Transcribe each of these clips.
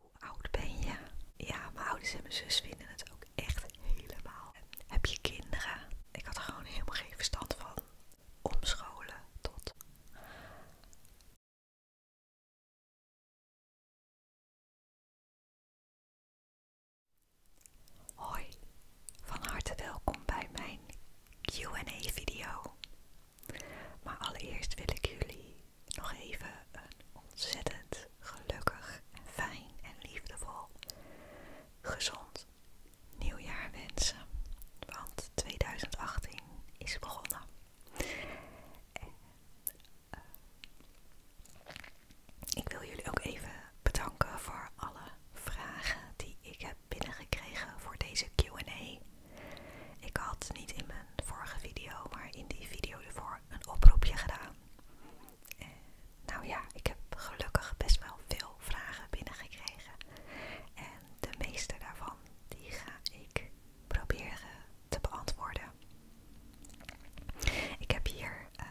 Hoe oud ben je? Ja, mijn ouders en mijn zus vinden het ook echt helemaal. Heb je kinderen? Ik had gewoon helemaal geen verstand van. Omscholen tot. Hoi, van harte welkom bij mijn QA-video. Maar allereerst wil ik jullie nog even een ontzettend gelukkig fijn en liefdevol gezond nieuwjaar wensen. Want 2018 is begonnen. En, eh, ik wil jullie ook even bedanken voor alle vragen die ik heb binnengekregen voor deze QA. Ik had niet in mijn vorige video, maar in die video ervoor een oproepje gedaan. En eh, nou ja, ik heb gelukkig best wel veel vragen binnengekregen. En de meeste daarvan, die ga ik proberen te beantwoorden. Ik heb hier eh,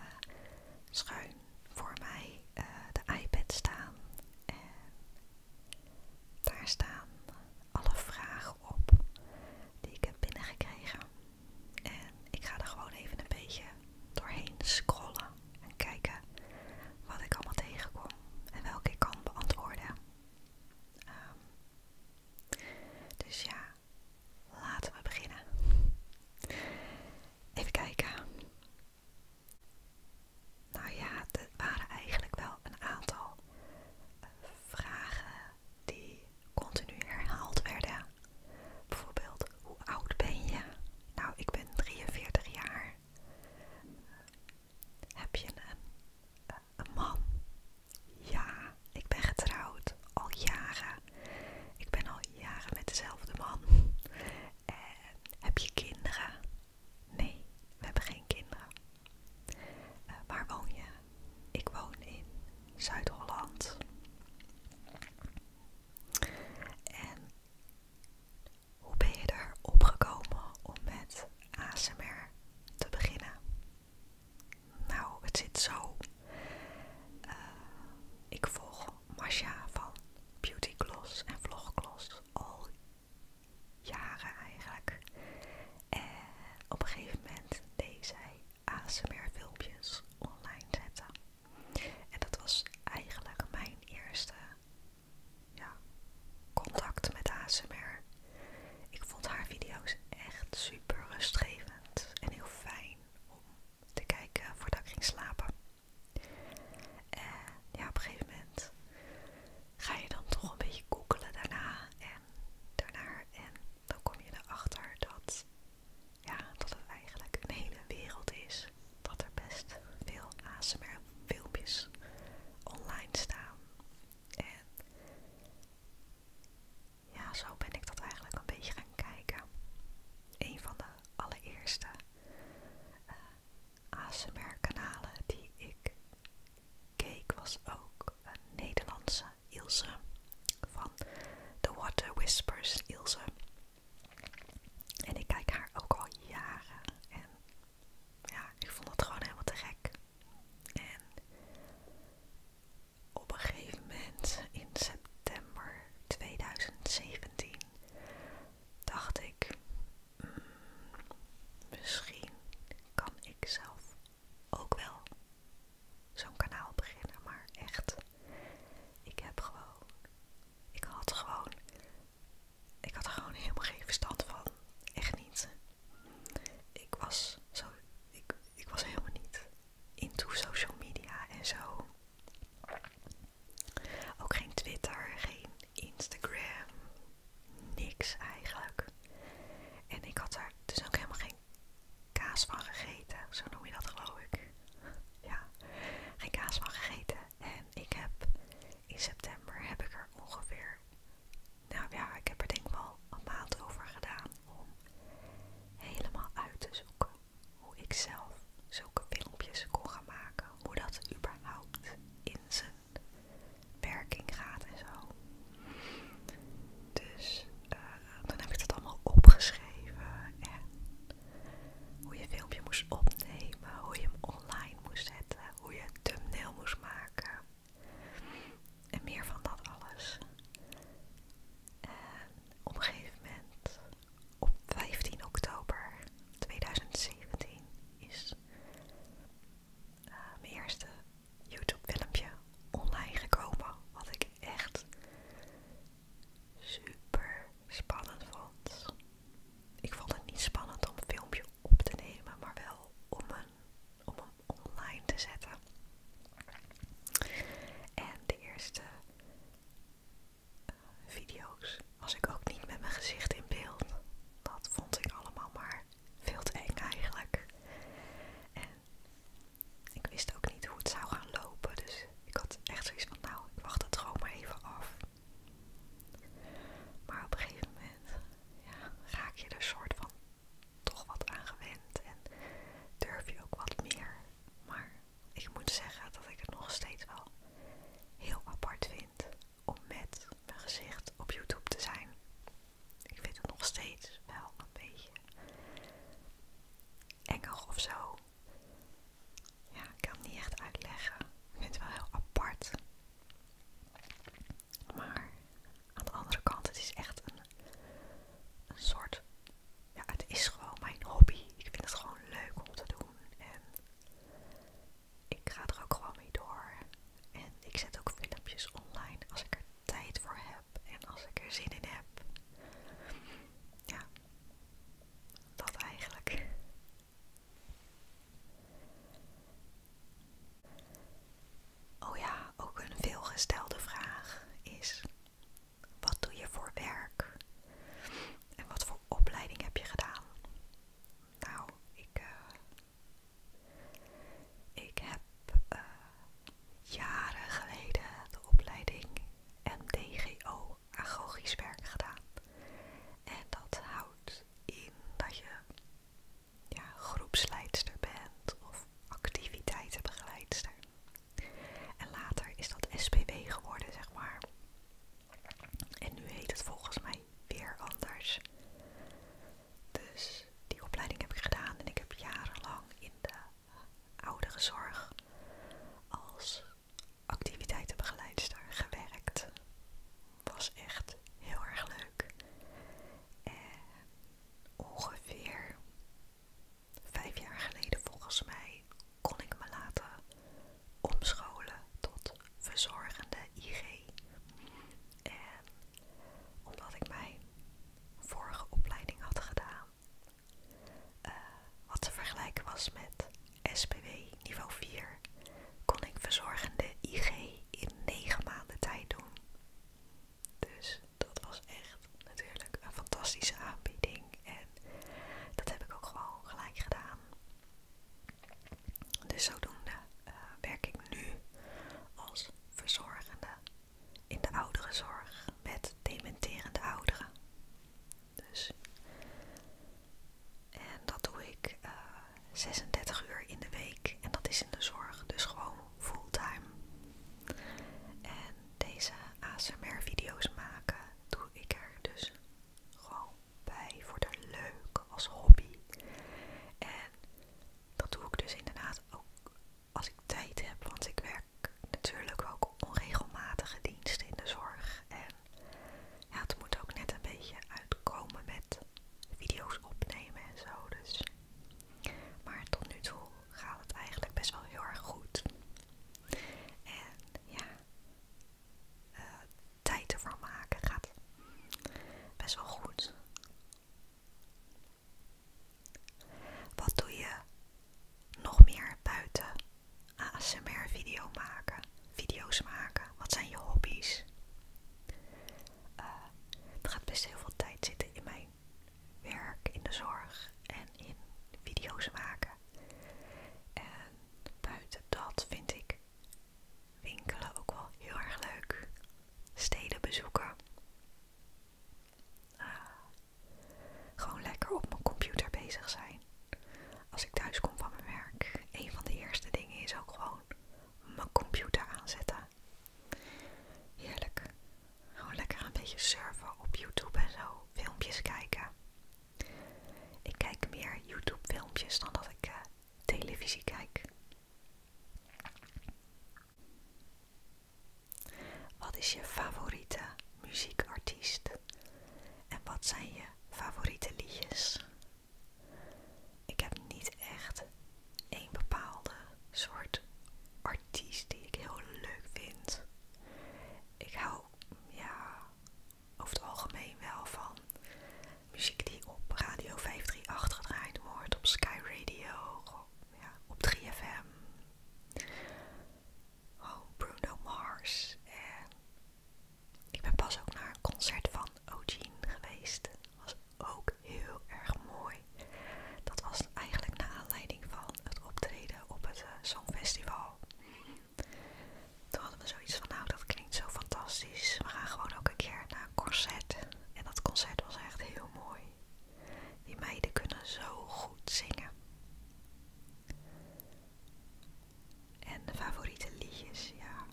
schuin voor mij eh, de iPad staan. En daar staan alle vragen op die ik heb binnengekregen. En ik ga er gewoon even een beetje doorheen scrollen en kijken wat ik allemaal tegenkom en welke ik kan beantwoorden. Ehm, dus ja, laten we beginnen. Even kijken. Nou ja, er waren eigenlijk wel een aantal eh, vragen die continu herhaald werden. Bijvoorbeeld, hoe oud ben je? Nou, ik ben 43 jaar. Heb je eh, een, man? Ja, ik ben getrouwd al jaren. Ik ben al jaren met dezelfde man. Eh, heb je kinderen? Nee, we hebben geen kinderen. Eh, waar woon je? Ik woon in Zuid-Holland. En hoe ben je er opgekomen om met ASMR te beginnen? Nou, het zit zo. Eh, ik volg Masha van Beauty Gloss en Gloss al jaren eigenlijk. En op een gegeven moment deed zij ASMR-filmpjes online zetten. En dat was eigenlijk mijn eerste contact met ASMR. Ik vond haar video's echt super rustgevend en heel fijn om te kijken voordat ik ging slapen. En ja, op een gegeven moment ga je dan toch een beetje googelen daarna daarna en dan kom je erachter dat, ja, dat het eigenlijk een hele wereld is. Dat er best veel ASMR filmpjes online staan. En ja, zo ben ik dat eigenlijk een beetje gaan kijken. Een van de allereerste uh, kanalen die ik keek was ook een Nederlandse Ilse van The Water Whispers Ilse. En ik kijk haar ook al jaren. En ja, ik vond het gewoon helemaal te gek. En op een gegeven moment in september 2017 dacht ik, mm, misschien kan ik zelf ook wel zo'n kanaal beginnen, maar echt, ik heb gewoon, ik had gewoon, ik had er gewoon helemaal geen verstand van, echt niet. Ik was zo, ik, was helemaal niet into social media en zo. Ook geen Twitter, geen Instagram, niks eigenlijk. En ik had daar dus ook helemaal geen kaas van gegeten. Zo noem je dat geloof ik. Ja, geen kaas van gegeten. En ik heb in september heb ik er ongeveer. Nou ja, ik heb er denk ik wel een maand over gedaan om helemaal uit te zoeken hoe ik zelf zulke filmpjes kon gaan maken. Hoe dat überhaupt in zijn werking gaat en zo. Dus eh, dan heb ik dat allemaal opgeschreven. En hoe je een filmpje moest opnemen, hoe je hem online moest zetten, hoe je een thumbnail moest maken. En meer van dat alles. En op een gegeven moment, op 15 oktober 2017, is eh, mijn eerste YouTube-filmpje online gekomen. Wat ik echt super spannend vond. Ik vond het niet spannend om een filmpje op te nemen, maar wel om, een, om hem online te zetten. En de eerste eh, video's was ik ook niet met mijn gezicht in beeld. Dat vond ik allemaal maar veel te eng eigenlijk. En ik wist ook niet hoe het zou gaan lopen. Dus ik had echt zoiets van, nou, ik wacht het gewoon maar even af. Maar op een gegeven moment ja, raak je er soort van toch wat aan gewend. En durf je ook wat meer. Maar ik moet zeggen dat ik het nog steeds wel heel apart vind om met mijn gezicht op YouTube te zijn. Ik vind het nog steeds wel een beetje eng of zo. Ja, ik kan het niet echt uitleggen. Ik vind het wel heel apart. Maar aan de andere kant, het is echt een, een soort. Ja, het is gewoon mijn hobby. Ik vind het gewoon leuk om te doen. En ik ga er ook gewoon mee door. En ik zet ook filmpjes online als ik er tijd voor heb en als ik er zin in heb. Ja, dat eigenlijk. Oh ja, ook een veelgestelde vraag is: wat doe je voor werk? En wat voor opleiding heb je gedaan? Nou, ik, eh, ik heb eh, jaren geleden de opleiding MDGO agogisch werk gedaan. En dat houdt in dat je ja, groepsleidster bent of activiteitenbegeleidster. En later is dat SPW geworden, zeg maar. En nu heet het volgens mij weer anders. Dus die opleiding heb ik gedaan en ik heb jarenlang in de zorg als activiteitenbegeleidster gewerkt. Was echt heel erg leuk. En ongeveer vijf jaar geleden volgens mij kon ik me laten omscholen tot verzorgende IG. En omdat ik mijn vorige opleiding had gedaan. Eh, wat te vergelijken was met SPW niveau 4, kon ik verzorgende IG in 9 maanden tijd doen. Dus dat was echt natuurlijk een fantastische aanbieding en dat heb ik ook gewoon gelijk gedaan. Dus zodoende eh, werk ik nu als verzorgende in de ouderenzorg met dementerende ouderen. Dus. En dat doe ik 36 eh, uur in de week en dat is in de zorg, dus gewoon fulltime. En deze ASMR-video's maken doe ik er dus gewoon bij voor de leuk als hobby. En dat doe ik dus inderdaad ook als ik tijd heb, want ik werk natuurlijk ook onregelmatige diensten in de zorg. En ja, het moet ook net een beetje uitkomen met video's opnemen en zo. Dus. Maar tot nu toe gaat het eigenlijk best wel heel erg goed. En ja, eh, tijd ervan maken gaat best wel goed. Wat doe je nog meer buiten ASMR video maken, video's maken? Wat zijn je hobby's? Eh, er gaat best heel veel tijd zitten in mijn werk, in de zorg en in video's maken. En buiten dat vind ik winkelen ook wel heel erg leuk. Steden bezoeken gewoon lekker op mijn computer bezig zijn. Als ik thuis kom van mijn werk, een van de eerste dingen is ook gewoon mijn computer aanzetten. Heerlijk. Gewoon lekker een beetje surfen op YouTube en zo. Filmpjes kijken. Ik kijk meer YouTube-filmpjes dan dat ik eh, televisie kijk. Wat is je favoriete muziekartiest? En wat zijn je favoriete liedjes? Ik heb niet echt één bepaalde soort artiest die ik heel leuk vind. Ik hou ja, over het algemeen wel van muziek die op Radio 538 gedraaid wordt, op Sky Radio, op 3FM. Oh, Bruno Mars. En ik ben pas ook naar een concert van Ogene geweest. was ook heel erg mooi. Dat was eigenlijk naar aanleiding van het optreden op het eh, Songfestival. Toen hadden we zoiets van, nou dat klinkt zo fantastisch. We gaan gewoon ook een keer naar een concert. En dat concert was echt heel mooi. Die meiden kunnen zo goed zingen. En favoriete liedjes, ja.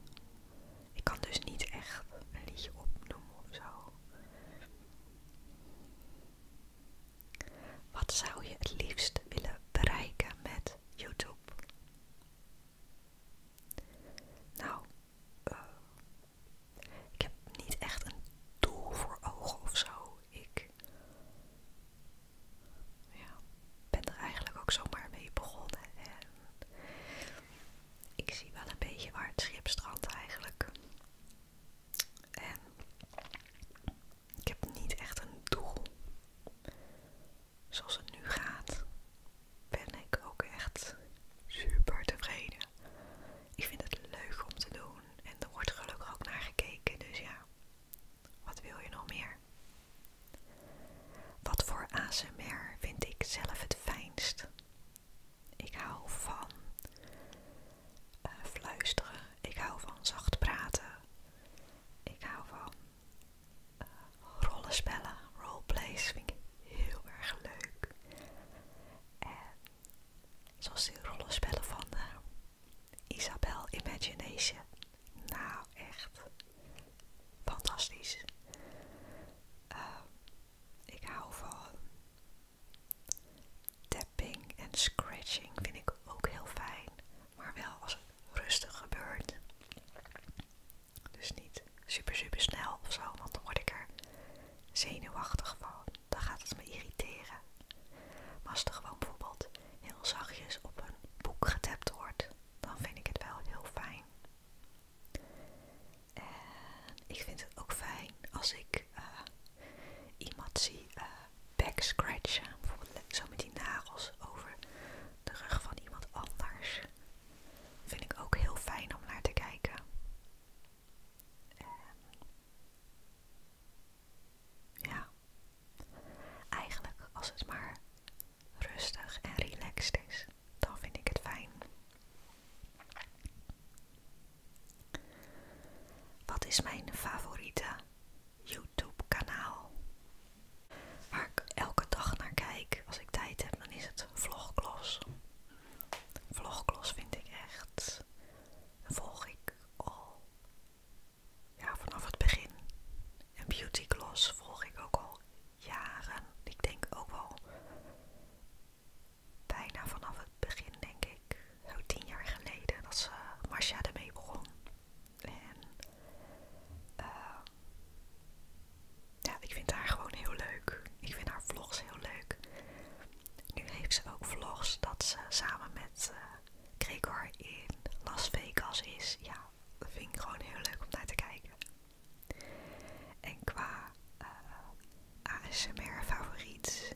Ik kan dus niet echt een liedje opnoemen of zo. Wat zou je het liefst willen bereiken met YouTube? Nou, eh. Ik heb niet echt een doel voor ogen of zo. Ik ja, ben er eigenlijk ook zomaar mee begonnen. En ik zie wel een beetje waar het schip strandt eigenlijk. En ik heb niet echt een doel. Zoals het nu gaat, ben ik ook echt super tevreden. Ik vind het leuk om te doen. En er wordt gelukkig ook naar gekeken, dus ja, wat wil je nog meer? Wat voor ASMR vind ik zelf het fijnst? Ik hou van eh, fluisteren, ik hou van zacht praten, ik hou van eh, rollenspellen, roleplays vind ik heel erg leuk. En Zoals die rollenspellen van Isabelle eh, Isabel Imagination. Nou, echt fantastisch. Ehm, ik hou van tapping en scratching, vind ik ook heel fijn. Maar wel als het rustig gebeurt. Dus niet super, super snel of zo, want dan word ik er zenuwachtig van dan gaat het me irriteren. Maar als er gewoon bijvoorbeeld heel zachtjes op een boek getapt wordt, dan vind ik het wel heel fijn. En ik vind het ook fijn als ik eh, iemand zie eh, backscratchen, bijvoorbeeld zo met die nagels over de rug van iemand anders. Vind ik ook heel fijn om naar te kijken. En ja, eigenlijk als het maar rustig en relaxed is, dan vind ik het fijn. Wat is mijn favoriete YouTube-kanaal? Waar ik elke dag naar kijk als ik tijd heb, dan is het Vlogklos. Vlogklos vind ik echt volg ik al ja, vanaf het begin. En Beauty Gloss volg ik ook al jaren. Ik denk ook wel bijna vanaf het begin, denk ik. Zo tien jaar geleden dat ze Marcia ermee begon. En eh, ja, ik vind haar gewoon heel leuk. Ik vind haar vlogs heel leuk. Nu heeft ze ook vlogs dat ze samen met eh, Gregor in Las Vegas is. Ja, dat vind ik gewoon heel leuk om naar te kijken. En qua eh, ASMR favoriet,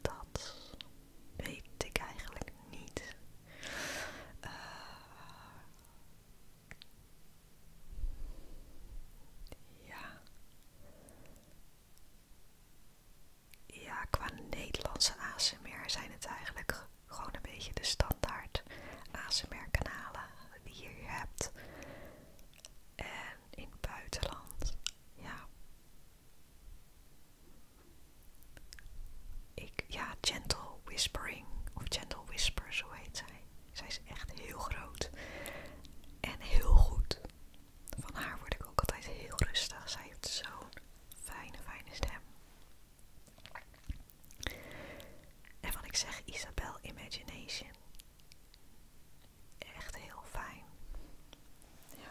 dat weet ik eigenlijk niet. Eh, ja ja, qua Nederlandse ASMR zijn het eigenlijk gewoon een beetje de standaard ASMR-kanalen die je hebt. En in het buitenland, ja. Ik, ja, Gentle Whispering, of Gentle Whisper, zo heet zij. Zij is echt heel groot en heel goed. Van haar word ik ook altijd heel rustig. Zij heeft zo'n fijne, fijne stem. En wat ik zeg, Isabel Imagination. Echt heel fijn. Ja.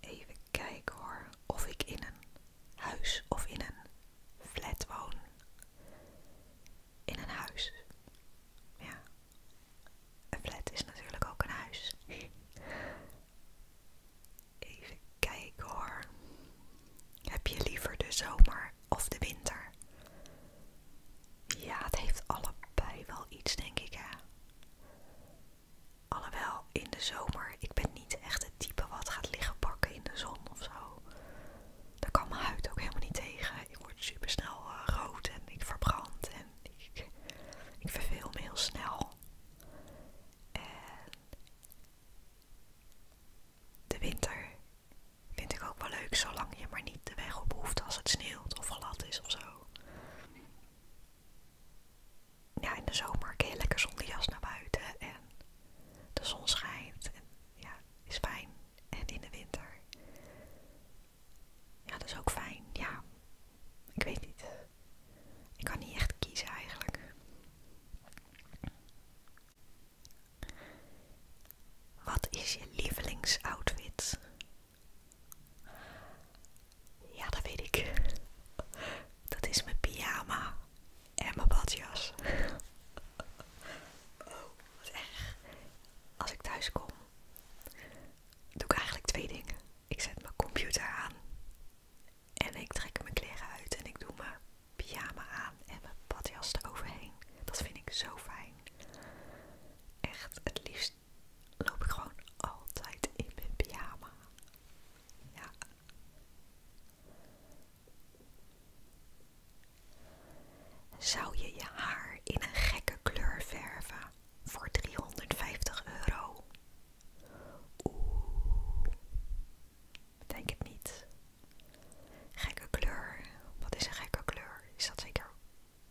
Even kijken hoor. Of ik in een huis of in een flat woon. In een huis. Ja, een flat is natuurlijk ook een huis. Even kijken hoor. Heb je liever de zomer of de winter? Ja, het heeft allebei wel iets, denk ik hè. Alhoewel, in de zomer, ik ben niet echt het type wat gaat liggen pakken in de zon of zo. Daar kan mijn huid ook helemaal niet tegen ik word super snel eh, rood en ik verbrand en ik, verveel me heel snel. En de winter vind ik ook wel leuk, zolang je maar niet de weg op hoeft als het sneeuwt of glad is of zo. Ja, in de zomer kun je lekker zonder jas naar buiten en de zon schijnt en ja, is fijn. En in de winter ja, dat is ook fijn. Ja, ik weet niet. Ik kan niet echt kiezen eigenlijk. Wat is je lievelingsoutfit? Ja, dat weet ik. Dat is mijn pyjama en mijn badjas. Oh, wat echt. Als ik thuis kom, doe ik eigenlijk twee dingen. Ik zet mijn computer aan en ik trek mijn kleren uit en ik doe mijn pyjama aan en mijn badjas eroverheen. Dat vind ik zo fijn. Echt, het liefst loop ik gewoon altijd in mijn pyjama. Ja. Zou je je haar in een gekke kleur verven voor 350 euro? Oeh, denk het niet. Gekke kleur, wat is een gekke kleur? Is dat zeker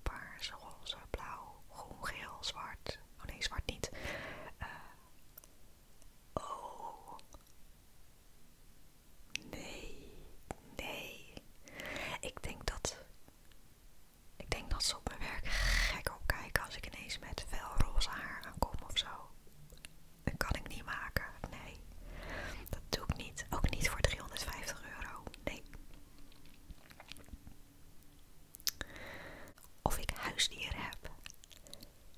paars, roze, blauw, groen, geel, zwart? Oh nee, zwart niet. Eh, oh. Nee, nee. Ik denk dat ik denk dat ze op mijn werk gek opkijken als ik ineens met fel roze haar aankom of zo. Dat kan ik niet maken, nee. Dat doe ik niet. Ook niet voor 350 euro, nee. Of ik huisdieren heb.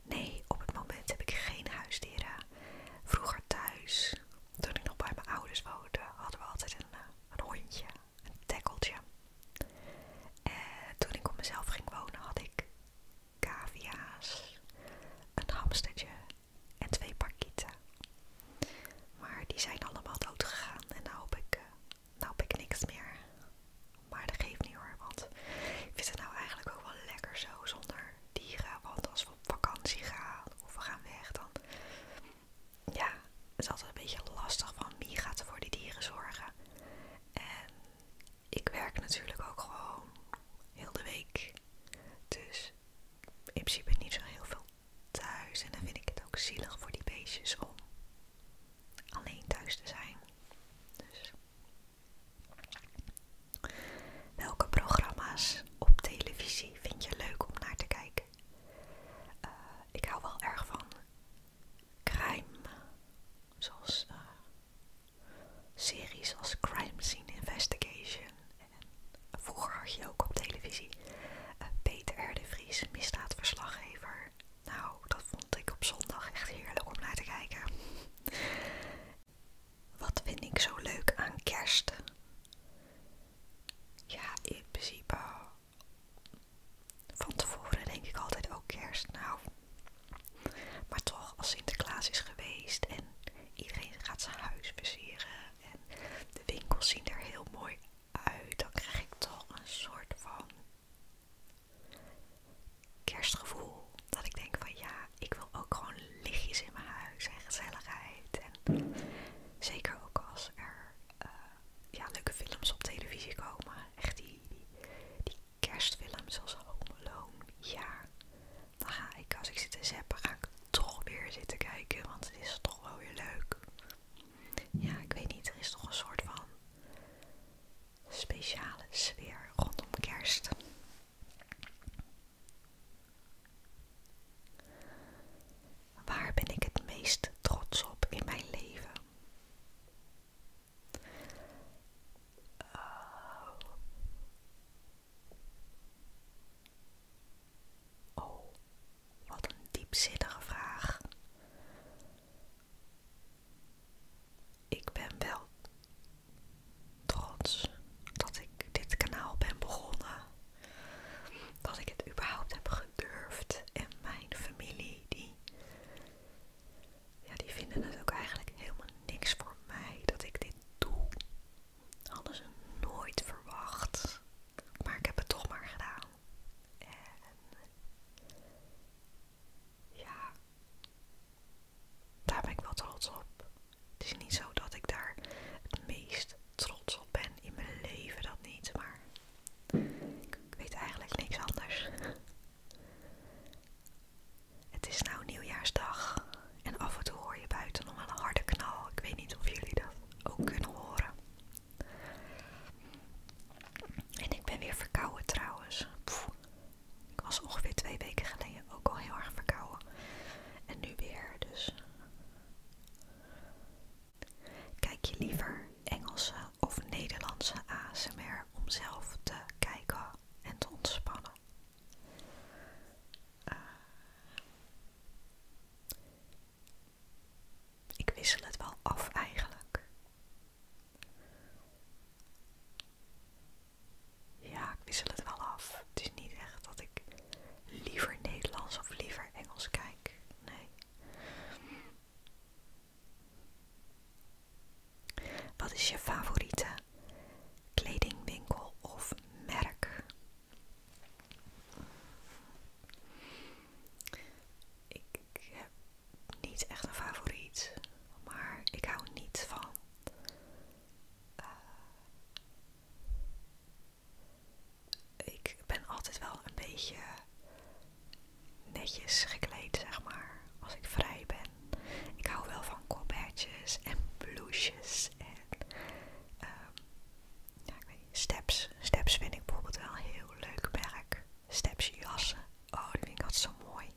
Nee, op het moment heb ik geen huisdieren. Vroeger thuis, toen ik nog bij mijn ouders woonde, hadden we altijd een eh, een hondje, een dekkeltje. En toen ik op mezelf ging wonen had ik cavia's, een hamstertje en twee parkieten. Maar die zijn allemaal dood gegaan en nou heb ik, eh, nou heb ik niks meer. Maar dat geeft niet hoor, want ik vind het nou eigenlijk ook wel lekker zo zonder dieren. Want als we op vakantie gaan of we gaan weg, dan ja, het is altijd een beetje lastig van wie gaat er voor die dieren zorgen. En ik werk natuurlijk ook gewoon heel de week. Dus in principe niet zo heel veel thuis. En dan vind ik het ook zielig voor die beestjes om alleen thuis te zijn. Dus welke programma's op televisie vind je leuk om naar te kijken? Eh, ik. hou wel erg van crime, zoals eh, series als Crime Scene Investigation. En vroeger had je ook op televisie eh, Peter Erdevries, Vries, misdaadverslaggever. Nou, dat vond ik op zondag echt heerlijk om naar te kijken. Wat vind ik zo leuk aan kerst? ja, in principe van tevoren denk ik altijd ook oh, kerst. Nou, maar toch als Sinterklaas is geweest en iedereen gaat zijn huis versieren en de winkels zien er heel mooi uit, dan krijg ik toch een soort van kerstgevoel. Dat ik denk van ja, ik wil ook gewoon lichtjes in mijn huis en gezelligheid. zeker ook als er eh, ja, leuke films op televisie komen. Echt die, die, zoals Home Alone. Ja, dan ga ik als ik zit te zappen, ga ik toch weer zitten kijken. Want het is toch wel weer leuk. Ja, ik weet niet, er is toch een soort van speciale sfeer rondom kerst. Waar ben ik het meest trots op in mijn leven? Oh. oh, wat een diepzinnige vraag. Ik ben wel trots dat ik dit kanaal ben begonnen dat ik het überhaupt heb gedurfd. En mijn familie, die, ja, die vinden het ook eigenlijk helemaal niks voor mij dat ik dit doe. Alles is nooit verwacht. Maar ik heb het toch maar gedaan. En ja, daar ben ik wel trots op. Het is niet zo dat ik daar het meest trots op ben in mijn leven, dat niet, maar ik weet eigenlijk niks anders. Het is nou nieuwjaarsdag en af en toe hoor je buiten nog een harde knal. Ik weet niet of jullie dat ook kunnen horen. En ik ben weer verkouden trouwens. ik was ongeveer twee weken geleden ook al heel erg verkouden. En nu weer, dus Kijk je liever Engelse of Nederlandse ASMR om zelf te kijken en te ontspannen? Eh, ik wissel het wel af eigenlijk. Ja, ik wissel het wel af. Het is niet echt dat ik liever Nederlands of liever Engels kijk. Nee. Wat is je favoriete kledingwinkel of merk? Ik heb niet echt een favoriet, maar ik hou niet van. Eh, ik ben altijd wel een beetje netjes gekleed, zeg maar, als ik vrij ben. Ik hou wel van colbertjes en blouses en ehm, ik weet steps. Steps vind ik bijvoorbeeld wel een heel leuk werk. Steps jassen, oh die vind ik altijd zo mooi.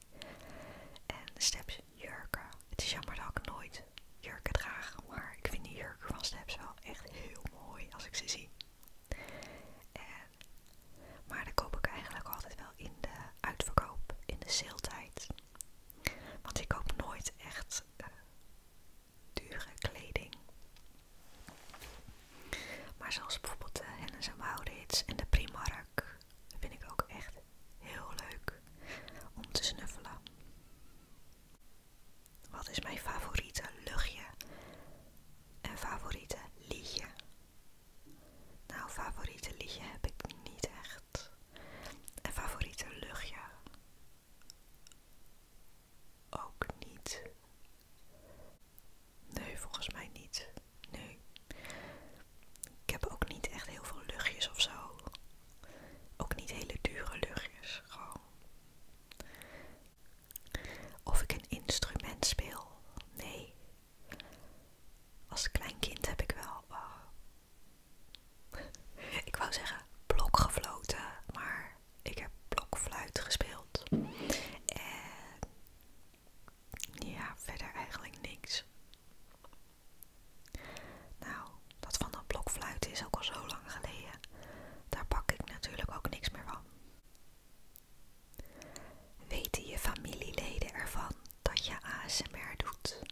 En steps jurken. Het is jammer dat ik nooit jurken draag, maar ik vind die jurken van steps wel echt heel mooi als ik ze zie. Eh, maar dan koop ik eigenlijk altijd wel in de uitverkoop, in de sale-tijd. Want ik koop nooit echt uh, dure kleding. Maar zoals bijvoorbeeld de H&M en Maurits en de Primark vind ik ook echt heel leuk om te snuffelen. Wat is mijn favoriete luchtje en favoriete liedje? Nou, favoriete liedje heb ik niet echt. En favoriete luchtje ook niet. Nee, volgens mij niet. Nee. Ik heb ook niet echt heel veel luchtjes of zo. Ook niet hele dure luchtjes, gewoon. Of ik een instrument speel? Nee. Als klein kind heb ik wel. ik wou zeggen blok gefloten, maar ik heb blokfluit gespeeld. En ja, verder eigenlijk niks. Nou, dat van dat blokfluit is ook al zo lang geleden daar pak ik natuurlijk ook niks meer van. Weten je familieleden ervan dat je ASMR doet?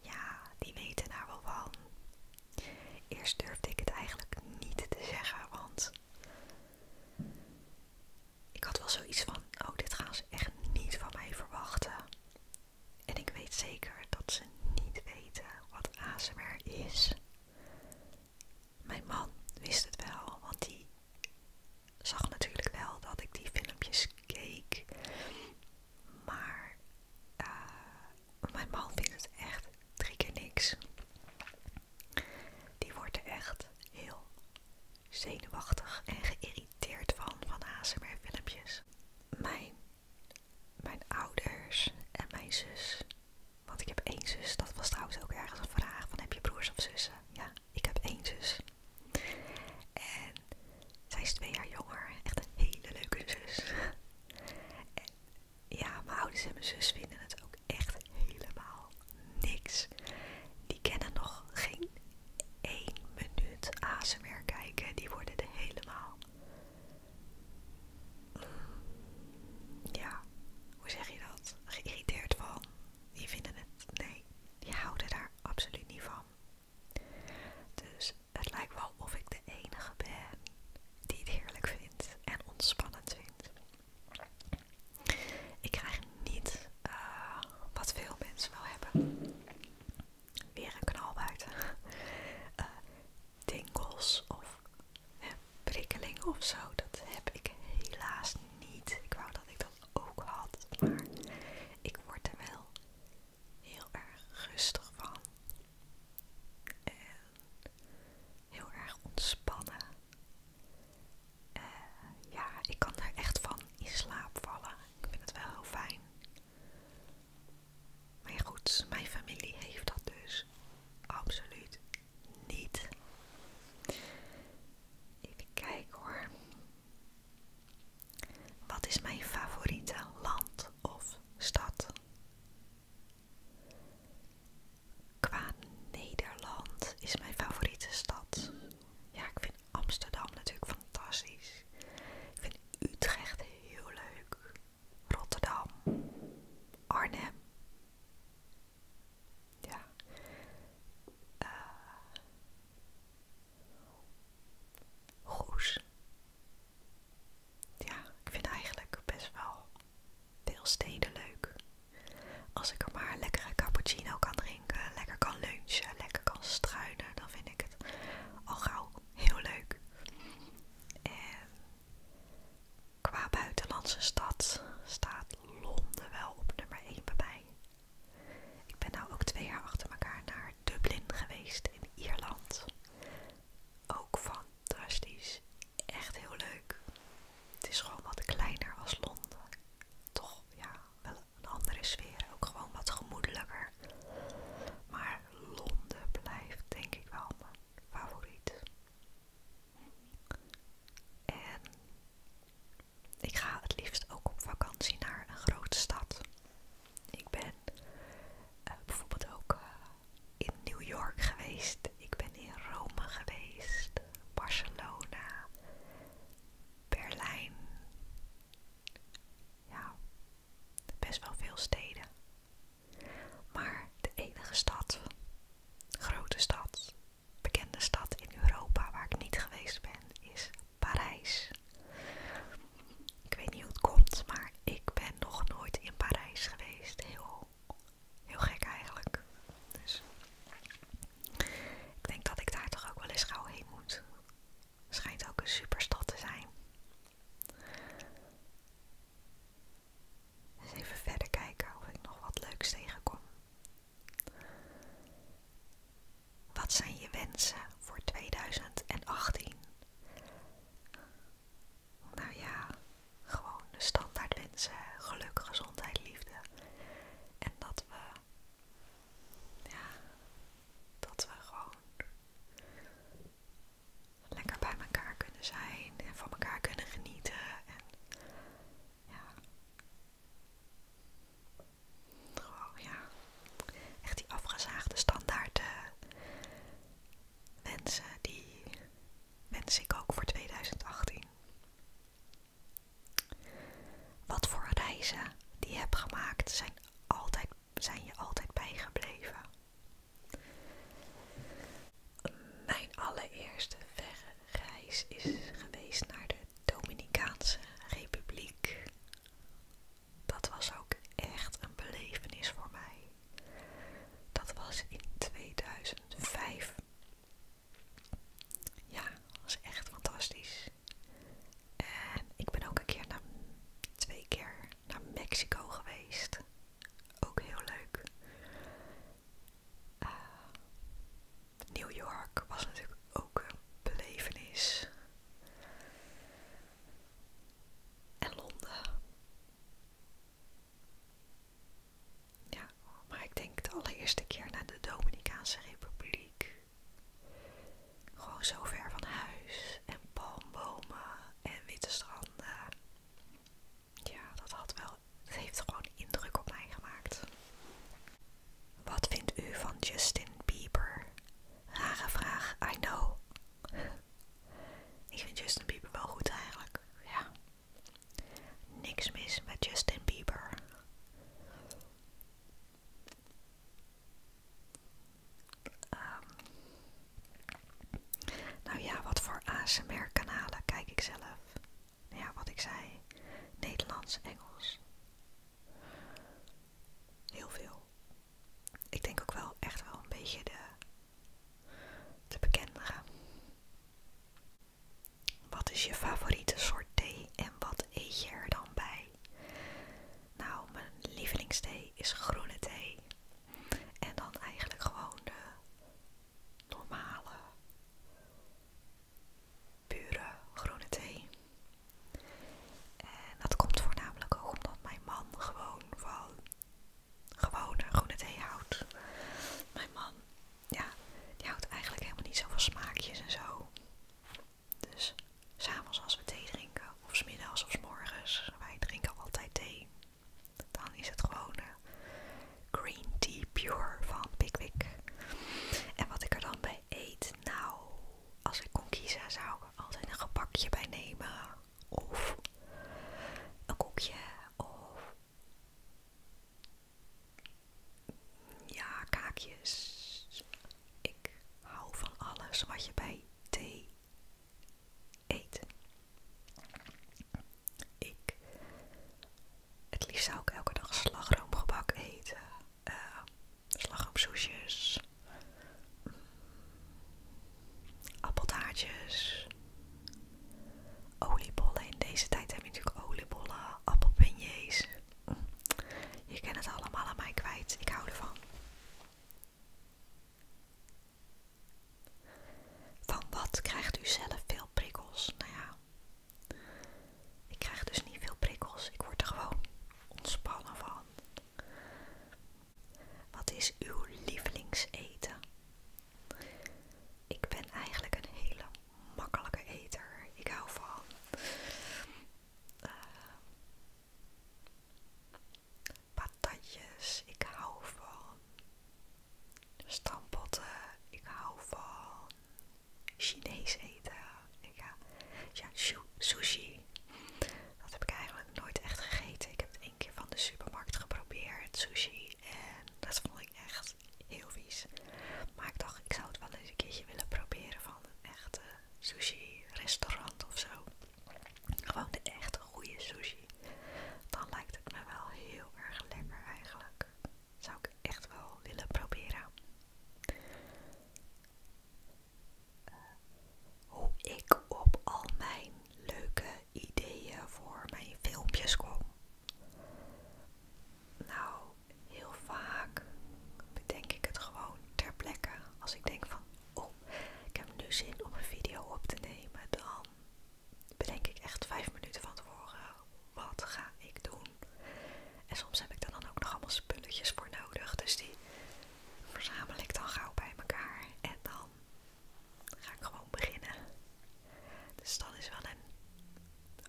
Ja, die weten daar wel van. Eerst durfde ik het eigenlijk niet te zeggen, want ik had wel zoiets van: oh, dit gaan ze echt niet van mij verwachten. En ik weet zeker dat ze niet weten wat ASMR is. Mijn man wist het wel, want die zag natuurlijk wel dat ik die filmpjes keek. Maar eh, mijn man vindt het echt drie keer niks. Die wordt er echt heel zenuwachtig en geïrriteerd van, van ASMR-filmpjes. Mijn mijn ouders en mijn zus. Want ik heb één zus, dat was trouwens ook ergens een vraag van heb je broers of zussen? Ja, ik heb één zus. En zij is twee jaar jonger, echt een hele leuke zus. ja, mijn ouders en mijn zus vinden het ook echt helemaal niks. Die kennen nog geen één minuut meer kijken, die worden er helemaal ja, hoe zeg je dat? Geïrriteerd van. Die vinden het. Nee, die houden daar absoluut niet van. Dus het lijkt wel of ik de enige ben die het heerlijk vindt en ontspannend vindt. Ik krijg niet eh, wat veel mensen wel hebben. Weer een knal buiten. Eh, tingels of prikkelingen of zo. Dat heb ik helaas niet. Ik wou dat ik dat ook had, maar ik word er wel heel erg rustig van. En heel erg ontspannen. Eh, ja, ik kan er echt van in slaap vallen. Ik vind het wel heel fijn. Maar goed, mijn familie heeft dat dus absoluut niet. Even kijken hoor. Wat is mijn favoriete land of stad? Qua Nederland is mijn favoriete stad. Ja, ik vind Amsterdam natuurlijk fantastisch. Ik vind Utrecht heel leuk. Rotterdam, Arnhem. Ja. eh Goes. Ja, ik vind eigenlijk best wel veel steden leuk. Als ik er maar lekkere cappuccino kan drinken, lekker kan lunchen, lekker kan struinen, dan vind ik het al gauw heel leuk. En Qua buitenlandse stad staat Londen wel op nummer 1 bij mij. Ik ben nou ook twee jaar achter elkaar naar Dublin geweest in Ierland. Ook fantastisch. Echt heel leuk. Het is gewoon wat kleiner als Londen. Toch, ja, wel een andere sfeer. Ook gewoon wat gemoedelijker. Maar Londen blijft denk ik wel mijn favoriet. En ik ga het liefst ook op vakantie naar een grote stad. Ik ben eh, bijvoorbeeld ook eh, in New York geweest. Ik ben in Rome geweest, Barcelona, Berlijn. Ja, best wel veel steden. Maar de enige stad, grote stad, bekende stad in Europa waar ik niet geweest ben, is Parijs. Ik weet niet hoe het komt, maar ik ben nog nooit in Parijs geweest. Heel, heel gek eigenlijk. Dus ik denk dat ik daar toch ook wel eens gauw heen moet. Schijnt ook een superstad te zijn. Eens even verder kijken of ik nog wat leuks tegenkom. Wat zijn je wensen voor 2018? Nou ja, gewoon de standaard wensen: geluk, gezondheid, liefde. En dat we, ja, dat we gewoon lekker bij elkaar kunnen zijn en van elkaar kunnen genieten. En ja. Gewoon ja. Echt die afgezaagde standaard eh, wensen, die wens ik ook voor 2018. Wat voor reizen die je hebt gemaakt zijn, altijd, zijn je altijd bijgebleven. Mijn allereerste verre reis is geweest naar de Dominicaanse Republiek. Dat was ook echt een belevenis voor mij. Dat was in 2005. Ja, dat was echt fantastisch. En ik ben ook een keer twee keer naar Mexico geweest ook heel leuk. Eh, New York was natuurlijk ook een belevenis. En Londen. Ja, maar ik denk de allereerste keer naar de Dominicaanse Republiek. Gewoon zo ver van huis en palmbomen en witte stranden ja, dat had wel, dat heeft gewoon indruk op mij gemaakt. Wat vindt u van Justin Bieber? Rare vraag, I know. Ik vind Justin Bieber wel goed eigenlijk, ja. Niks mis met Justin Bieber. Ehm nou ja, wat voor ASMR-kanalen kijk ik zelf? Nou ja, wat ik zei. Nederlands, Engels. Heel veel. Ik denk ook wel echt wel een beetje de, de bekendere. Wat is je favoriete soort thee en wat eet je er dan bij? Nou, mijn lievelingsthee is groene thee. En dan eigenlijk gewoon de normale, pure groene thee. En dat komt voornamelijk ook omdat mijn man gewoon van gewone groene thee houdt. Mijn man, ja, die houdt eigenlijk helemaal niet zoveel smaakjes en zo. Dus s'avonds als we thee drinken, of smiddags of s morgens, wij drinken altijd thee. Dan is het gewoon eh, green tea pure van Pickwick. En wat ik er dan bij eet, nou, als ik kon kiezen zou ik er altijd een gebakje bij nemen. Of een koekje. Of ja, kaakjes. Ik hou van alles wat je bij thee Eet. Ik, het liefst zou ik elke dag slagroomgebak eten, eh, slagroomsoesjes, mm, appeltaartjes, oliebollen. In deze tijd heb je natuurlijk oliebollen, appelpinjes. Mm, je kent het allemaal aan mij kwijt. Ik hou ervan. Van wat krijgt u zelf veel prikkels? Nou ja, ik krijg dus niet veel prikkels. Ik word er gewoon ontspannen van. Wat is uw lievelingseten? Ik ben eigenlijk een hele makkelijke eter. Ik hou van. Eh, patatjes. Ik hou van stampotten. Ik hou van Chinees eten. Ik ja, sushi. Dat heb ik eigenlijk nooit echt gegeten. Ik heb het één keer van de supermarkt geprobeerd, sushi. En dat vond ik echt heel vies. Maar ik dacht, ik zou het wel eens een keertje willen proberen van een echte sushi restaurant of zo. Gewoon de echte goede sushi dan lijkt het me wel heel erg lekker eigenlijk. Zou ik echt wel willen proberen. Eh, hoe ik op al mijn leuke ideeën voor mijn filmpjes kom. Nou, heel vaak bedenk ik het gewoon ter plekke. Als ik denk van, oh, ik heb nu zin om een video op te nemen, dan bedenk ik echt vijf minuten van tevoren, wat ga ik doen? En soms heb ik er dan ook nog allemaal spulletjes voor nodig, dus die verzamel ik dan gauw bij elkaar en dan ga ik gewoon beginnen. Dus dat is wel een,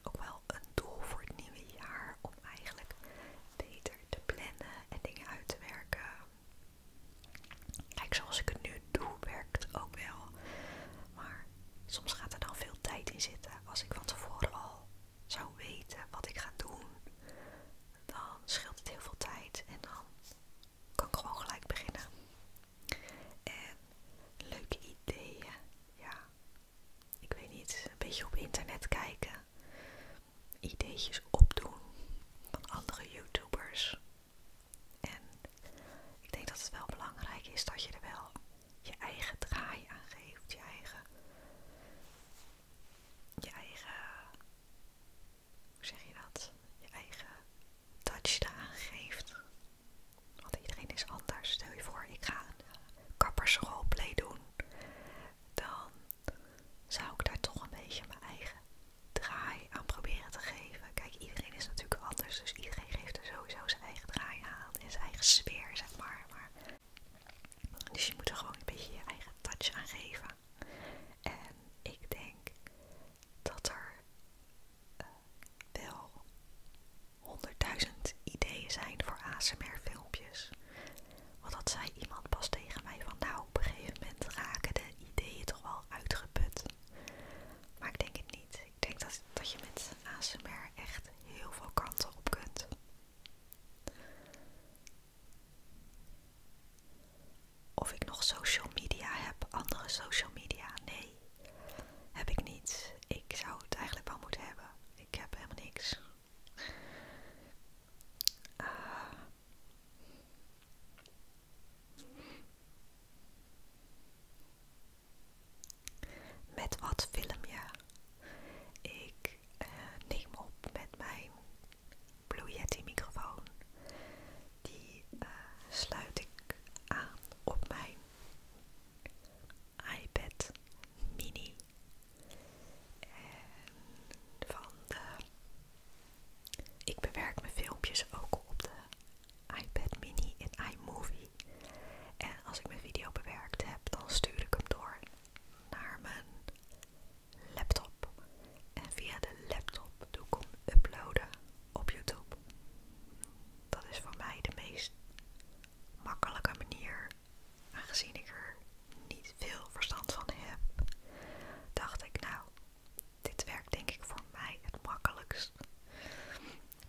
ook wel een doel voor het nieuwe jaar om eigenlijk beter te plannen en dingen uit te werken. Kijk, zoals ik het nu doe, werkt het ook wel. Maar soms gaat er dan veel tijd in zitten. Als ik van tevoren al zou weten wat ik ga doen, dan scheelt het heel veel tijd en dan kan ik gewoon gelijk beginnen. En leuke ideeën, ja. Ik weet niet, een beetje op internet kijken, ideetjes opdoen van andere YouTubers. En ik denk dat het wel belangrijk is dat je er wel je eigen draai aan geeft, je eigen, je eigen, hoe zeg je dat, je eigen touch eraan geeft. Want iedereen is anders. Stel je voor, ik ga een kappersroleplay doen, dan zou ik daar toch een beetje mijn eigen draai aanproberen proberen te geven. Kijk, iedereen is natuurlijk anders, dus iedereen geeft er sowieso zijn eigen draai aan en zijn eigen sfeer, zeg maar. dus je moet er gewoon een beetje je eigen touch aan geven. En ik denk dat er eh, wel honderdduizend ideeën zijn voor ASMR-filmpjes. Want dat zei iemand pas tegen mij van nou, op een gegeven moment raken de ideeën toch wel uitgeput. Maar ik denk het niet ik denk dat, dat je met ASMR echt heel veel kanten op kunt. Of ik nog social media heb, andere social media? Nee, heb ik niet. Ik zou het eigenlijk wel moeten hebben. Ik heb helemaal niks. Ah. Met wat filmje. Ik eh, neem op met mijn Blue Yeti microfoon. Die eh, sluit ik aan op mijn iPad mini. En van de... Ik bewerk mijn filmpjes ook op de iPad mini en iMovie. En als ik mijn video bewerkt heb, dan stuur ik hem door naar mijn laptop. En via de laptop doe ik hem uploaden op YouTube. Dat is voor mij de meest makkelijke manier, aangezien ik er niet veel verstand van heb. Dacht ik, nou, dit werkt denk ik voor mij het makkelijkst.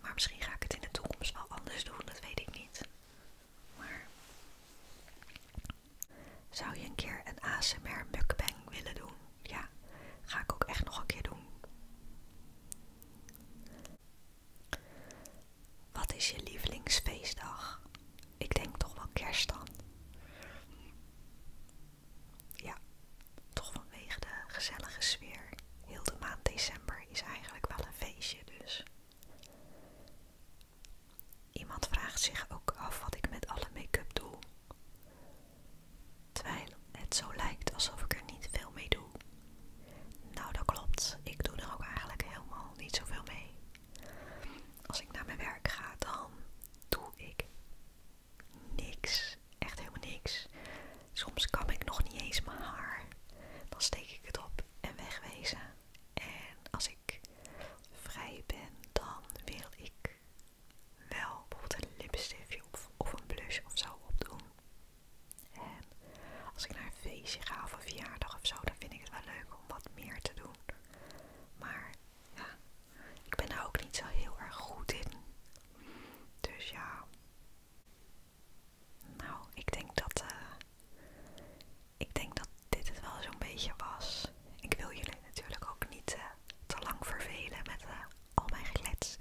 Maar misschien ga ik het in de toekomst wel anders doen, dat weet ik niet. zou je een keer een ASMR mukbang willen doen? Ja, ga ik ook echt nog een keer doen. Wat is je lievelingsfeestdag? Ik denk toch wel kerst dan. Ja, toch vanwege de gezellige sfeer. Heel de maand december is eigenlijk wel een feestje dus. Iemand vraagt zich ook af wat ik met alle make-up doe. Terwijl het zo lijkt alsof ik er niet veel mee doe. Nou, dat klopt. Ik doe er ook eigenlijk helemaal niet zoveel mee. Als ik naar mijn werk ga, dan doe ik niks. Echt helemaal niks. Soms kan ik nog niet eens mijn haar. Dan steek ik het op en wegwezen. En als ik vrij ben, dan wil ik wel bijvoorbeeld een lipstiftje of, een blush of zo opdoen. En als ik naar een feestje ga of een verjaardag of zo, dan vind ik het wel leuk om wat meer te doen. Maar ja, ik ben daar ook niet zo heel erg goed in. Dus ja, nou, ik denk dat. Eh, ik denk dat dit het wel zo'n beetje was. Ik wil jullie natuurlijk ook niet eh, te lang vervelen met eh, al mijn geklets.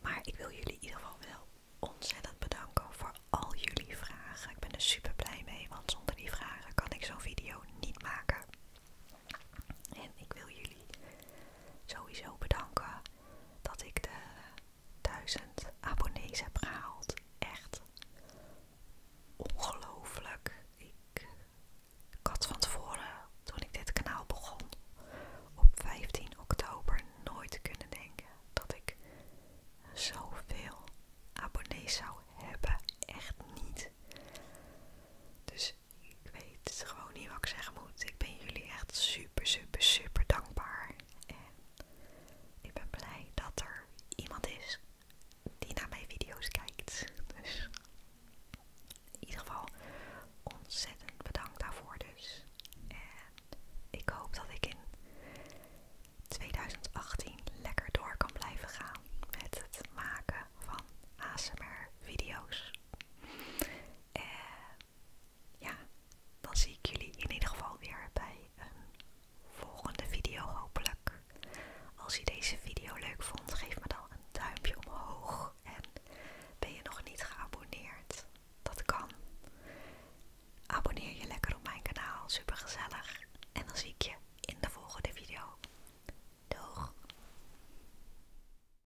Maar ik wil jullie in ieder geval wel ontzettend bedanken voor al jullie vragen. Ik ben er super blij mee, want zonder die vragen kan ik zo'n video niet maken. En ik wil jullie sowieso bedanken dat ik de 1000 abonnees heb gehaald. Echt ongelooflijk. Ik, ik had van tevoren, toen ik dit kanaal begon, op 15 oktober nooit kunnen denken dat ik zoveel abonnees zou hebben. Echt niet. Dus ik weet gewoon niet wat ik zeggen moet. Ik ben jullie echt super, super, super dankbaar. En ik ben blij dat er iemand is die naar mijn video's kijkt. Dus in ieder geval ontzettend bedankt daarvoor dus. En ik hoop dat ik in 2018 lekker door kan blijven gaan met het maken van ASMR video's. En ja, dan zie ik jullie in ieder geval weer bij een volgende video hopelijk. Als je deze video leuk vond, geef me dan een duimpje omhoog. En ben je nog niet geabonneerd? Dat kan. Abonneer je lekker op mijn kanaal, super gezellig. En dan zie ik je in de volgende video. Doeg!